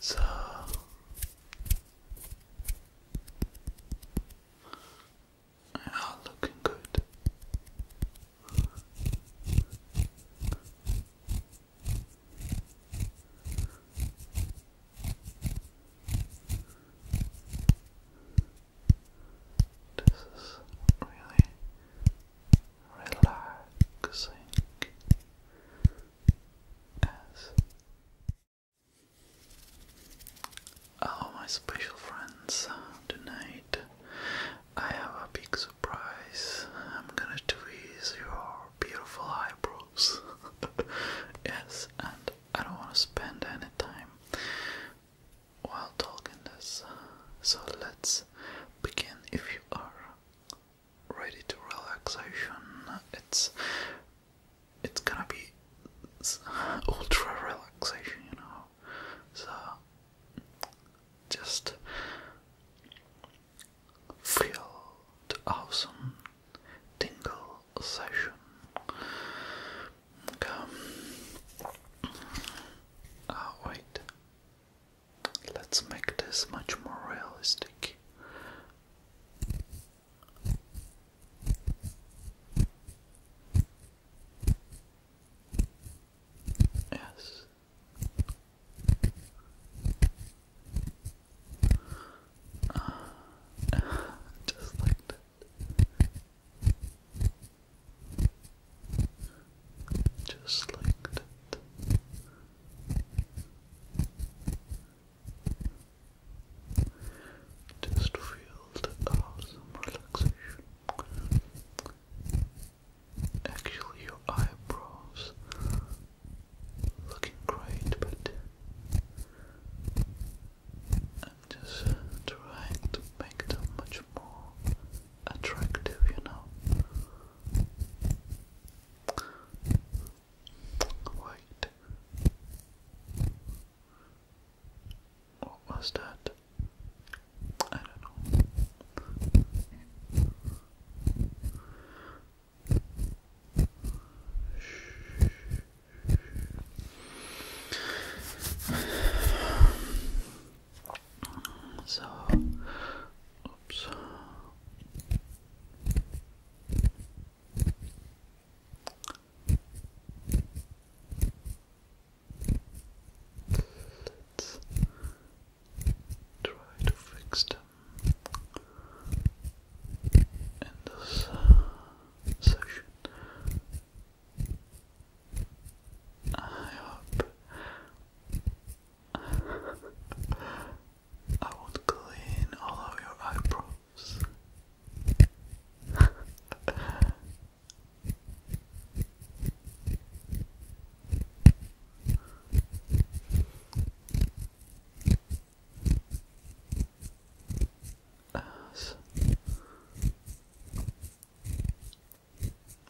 So looking good. This is really relaxing. Hello, my special friends. Tonight I have a big surprise. I'm gonna tweeze your beautiful eyebrows. yes, and I don't want to spend any time while talking this. So let's begin if you are ready to relaxation. It's it's gonna be ultra relaxation, you know. So just feel the awesome tingle session. Okay. Oh wait. Let's make this much more realistic. Yes. Ah, just like that. Just like that. Just feel the awesome relaxation. Actually, your eyebrows looking great, but I'm just trying to make them much more attractive, you know. Wait. What was that? I don't know. So Oops. Let's try to fix them in this session. I hope I would clean all of your eyebrows. As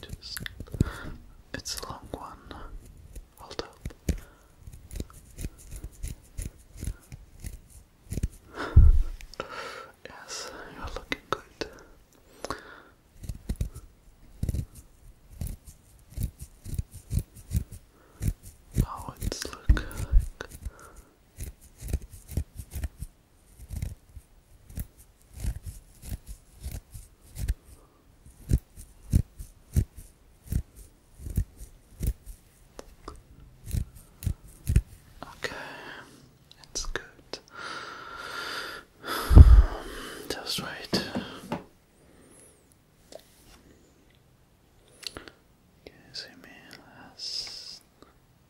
Just, it's a long one. Hold up. yes, you're looking good. Oh, it's look Okay, it's good. Just wait. Can you see me last?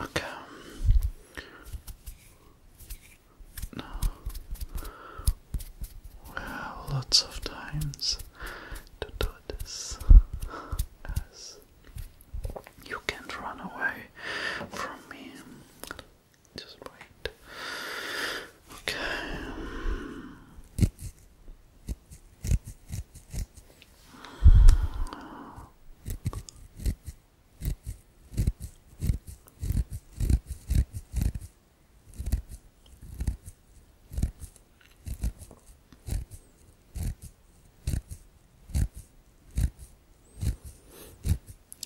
Okay. Now, we lots of times to do this, as you can't run away from me. Just wait. Okay.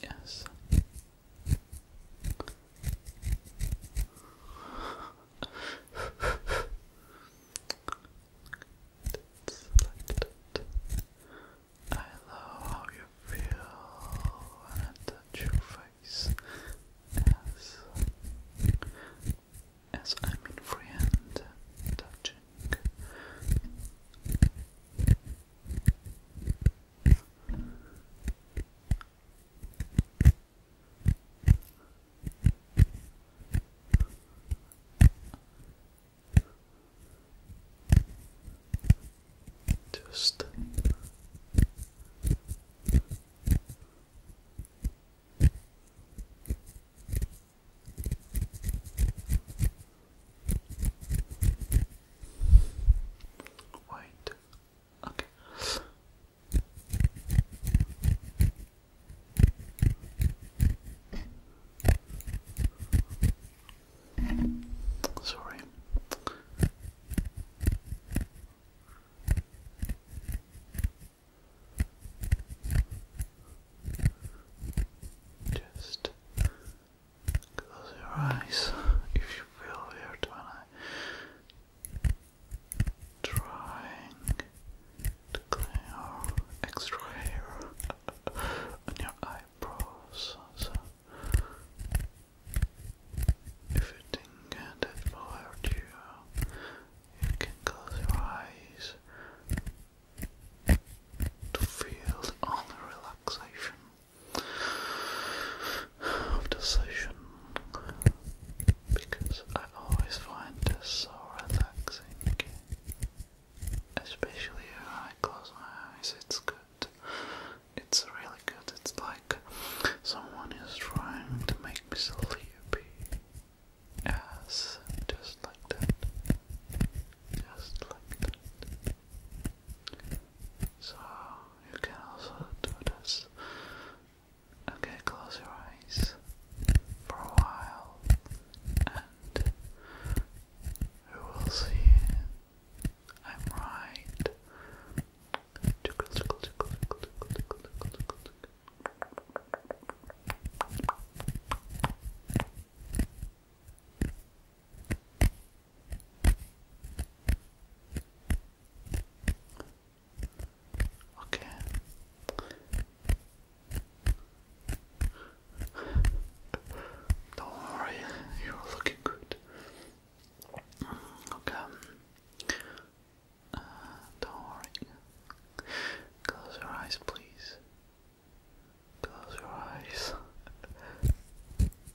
Yes. I love how you feel when I touch your face as as I'm in free touching. Just white. Okay. Sorry. Just close your eyes if you feel weird when I trying to clean out extra hair on your eyebrows. if you think that will hurt you, you can close your eyes to feel the only relaxation of decision because I always find this so relaxing. Especially when I close my eyes, it's good. It's really good. It's like someone is trying to make me sleepy. Yes, just like that. Just like that. So you can also do this. Okay, close your eyes for a while and you will see I'm right. Okay, Okay. Don't worry, you're looking good. Mm, okay. Uh, don't worry. Close your eyes, please. Close your eyes.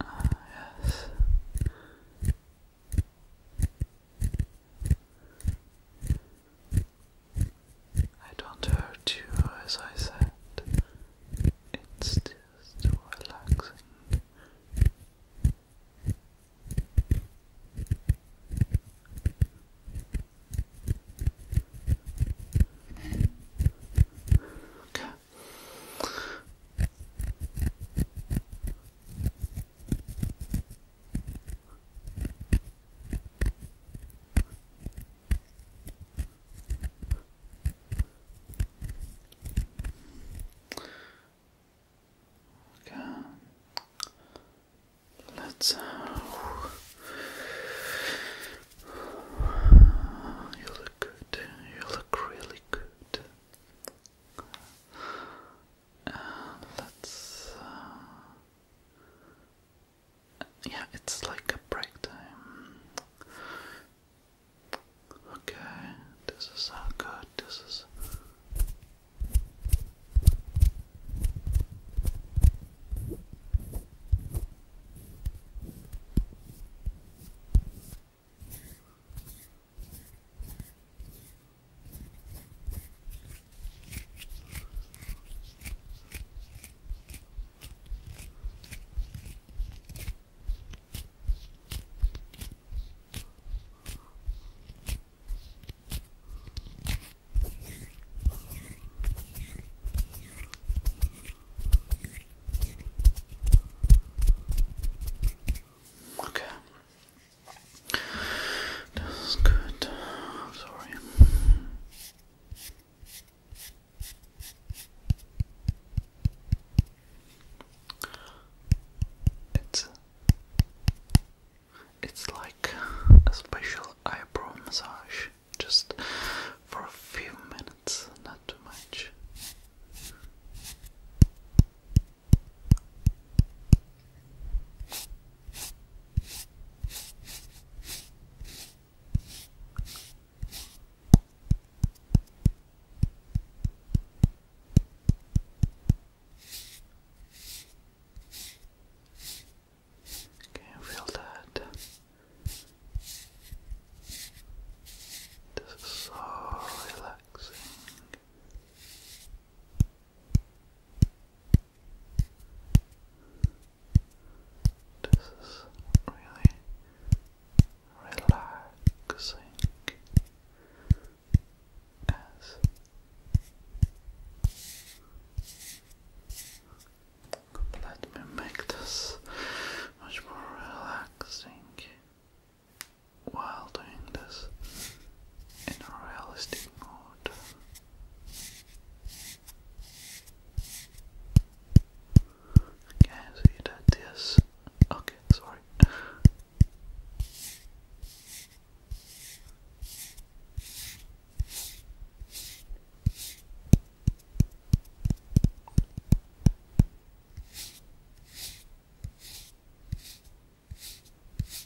Ah, yes. I don't hurt you, as I said. It's just relaxing. Okay. Okay. Let's. Uh, you look good. You look really good. Uh, let's. Uh, yeah, it's like a break time. Okay, this is all good. This is. Okay. That's good. sorry. It's like a special eyebrow massage just for a few minutes, not too much. Can you feel that? This is so relaxing. This is really relaxing let me make this much more relaxing while doing this in a realistic mode. Okay, so you did this. Okay, sorry.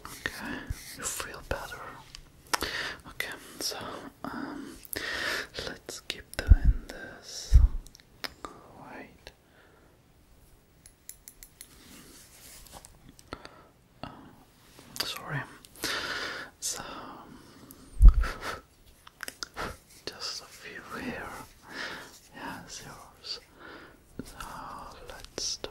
Okay, you feel better. Okay, so um, let's keep doing this. Alright. Uh, sorry. So um, Just a few here. Yeah, zeros. So let's start.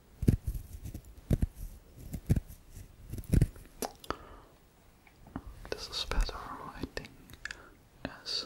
This is better, I think, as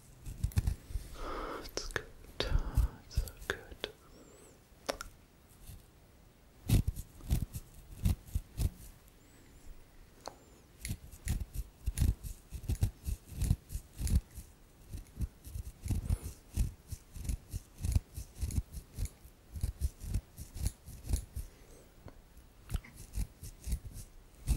It's good. It's so good.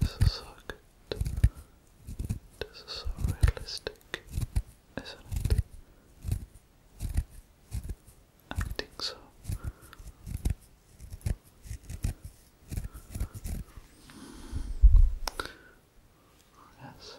This is so good. This is so realistic, isn't it? I think so. Yes.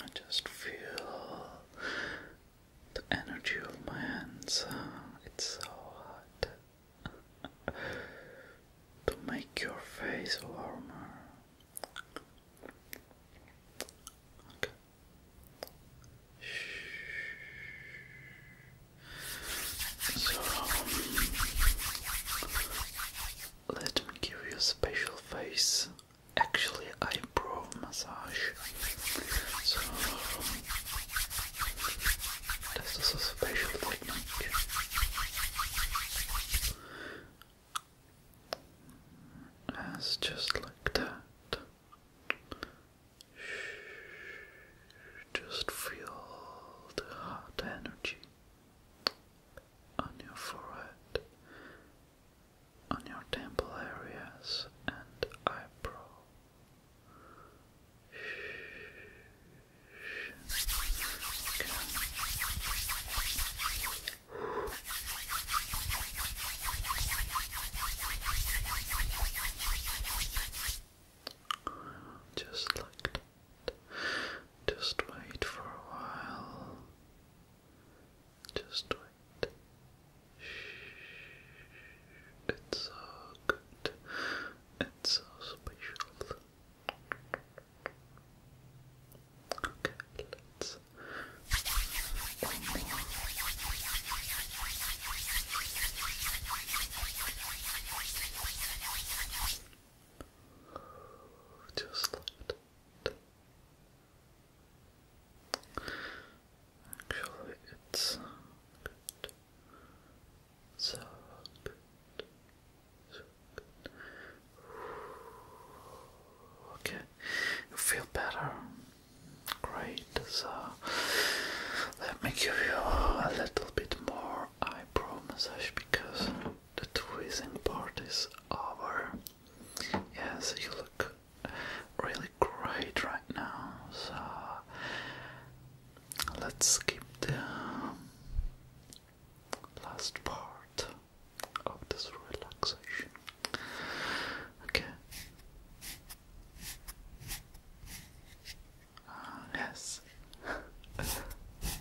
I just feel the energy of my hands. It's so hot. to make your face warmer. So, let me give you a special face actually eyebrow massage. So this is a special technique. As just like that. Just feel the hot energy on your forehead, on your temple areas, and eyebrow. Okay. Just like that. Just wait for a while. Just wait. Shh. It's so good. It's so special. Okay, let's. Just like Actually, it's So good. So good. Okay, you feel better. Great. So let me give you a little bit more eyebrow massage because the twizing part is over. Yes, you look really great right now. So let's skip the last part of this relaxation. Okay. Uh, yes.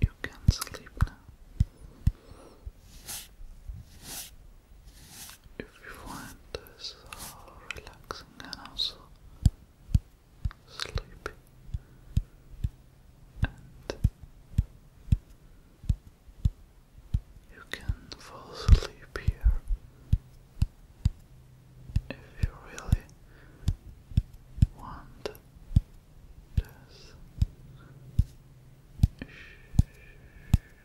You can sleep now if you find this relaxing and also sleepy and you can fall asleep here if you really want this.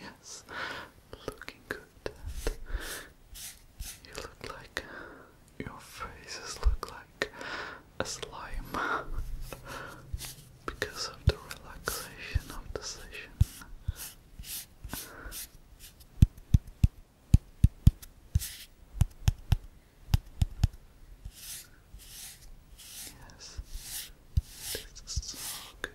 yes, looking good. you look like your faces look like a slime because of the relaxation of the session. Yes, this so good.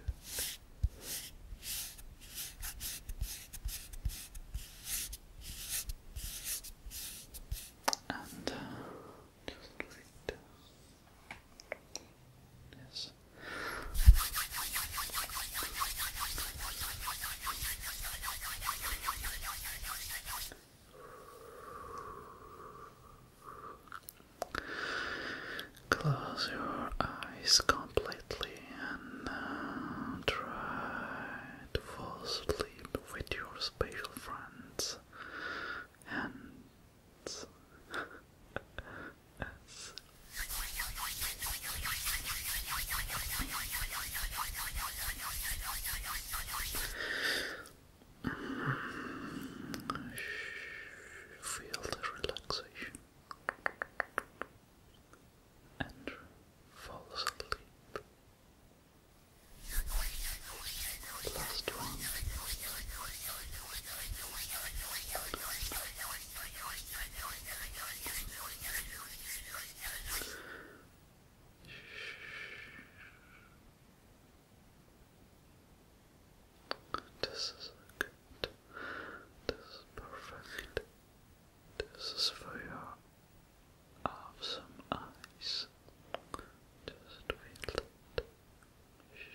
And uh, Close your eyes completely and uh, try to fall asleep with your special friends hands. Feel the relaxation and fall asleep. This is good. This is perfect. This is for you of some ice. Just feel it. Okay.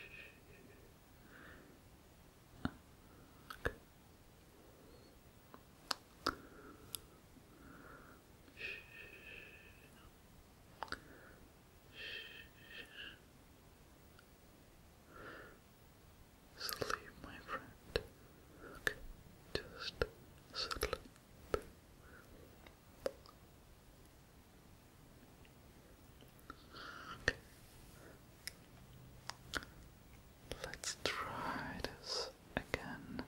Sleep, my friend. Okay, just Sleep. Okay. Let's try this again.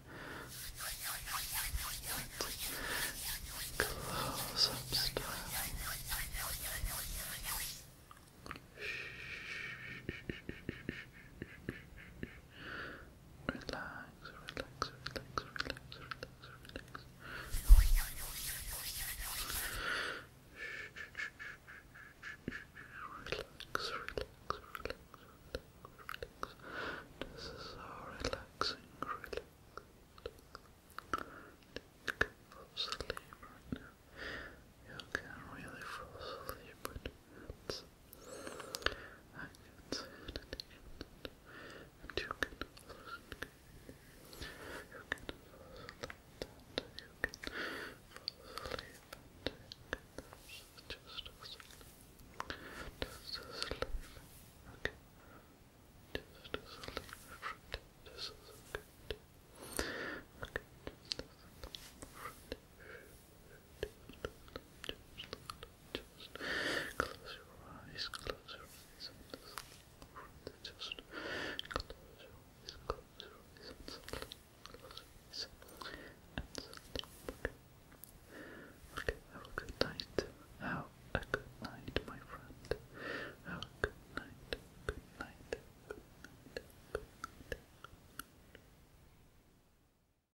Close up style relax, relax, relax, relax, relax, relax. Relax, relax, relax, relax. This is so relaxing, relax. You can fall asleep right now. You can really fall asleep hands. I can and and you can fall You can fall asleep and you can fall asleep and you can just asleep. Just asleep. Just asleep. This is good. Okay, just asleep. Just asleep just close your eyes, close your eyes, okay. Okay, have a good night, have a good night, my friend, have a good night, good night, good night, good night.